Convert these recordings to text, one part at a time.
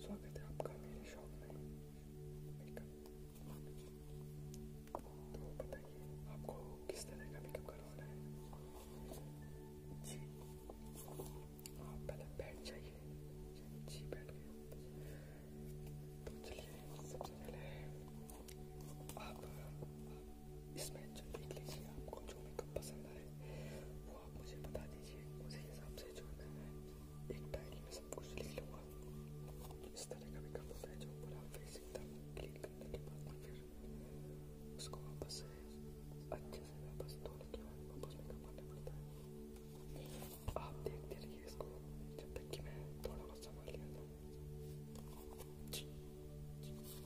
स्वागत है आपका मेरे शॉप में मेकअप तो बताइए आपको किस तरह का मेकअप करवाना है जी आप पहले बैठ जाइए जी बैठ गए तो चलिए सबसे पहले आप इसमें जो देख लीजिए आपको जो मेकअप पसंद आए वो आप मुझे बता दीजिए उसी हिसाब से जो है मैं एक डायरी में सब कुछ लिख लूँगा इस तरह का भी काम होता है जो पूरा फेस एकदम क्लीन करने के बाद में फिर उसको वापस से अच्छे से वापस धोने के बाद वापस मेकअप करना पड़ता है आप देखते रहिए इसको जब तक कि मैं थोड़ा बहुत संभाल लेता हूँ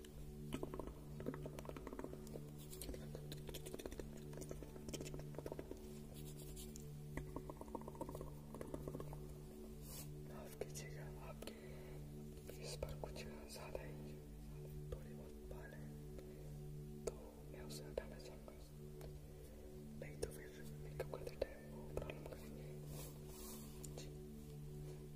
माफ कीजिएगा आपके फेस पर कुछ ज़्यादा ही थोड़े बहुत बाल हैं तो मैं उसे हटाना चाहूँगा नहीं तो फिर मेकअप करते टाइम वो प्रॉब्लम करेंगे जी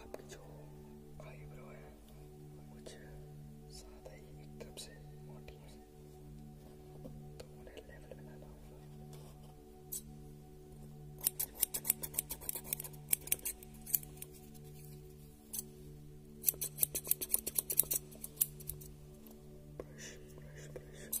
आपकी जो आईब्रो है वो कुछ ज़्यादा ही एक तरफ से मोटी है तो उन्हें लेवल में लाना होगा ब्रश ब्रश ब्रश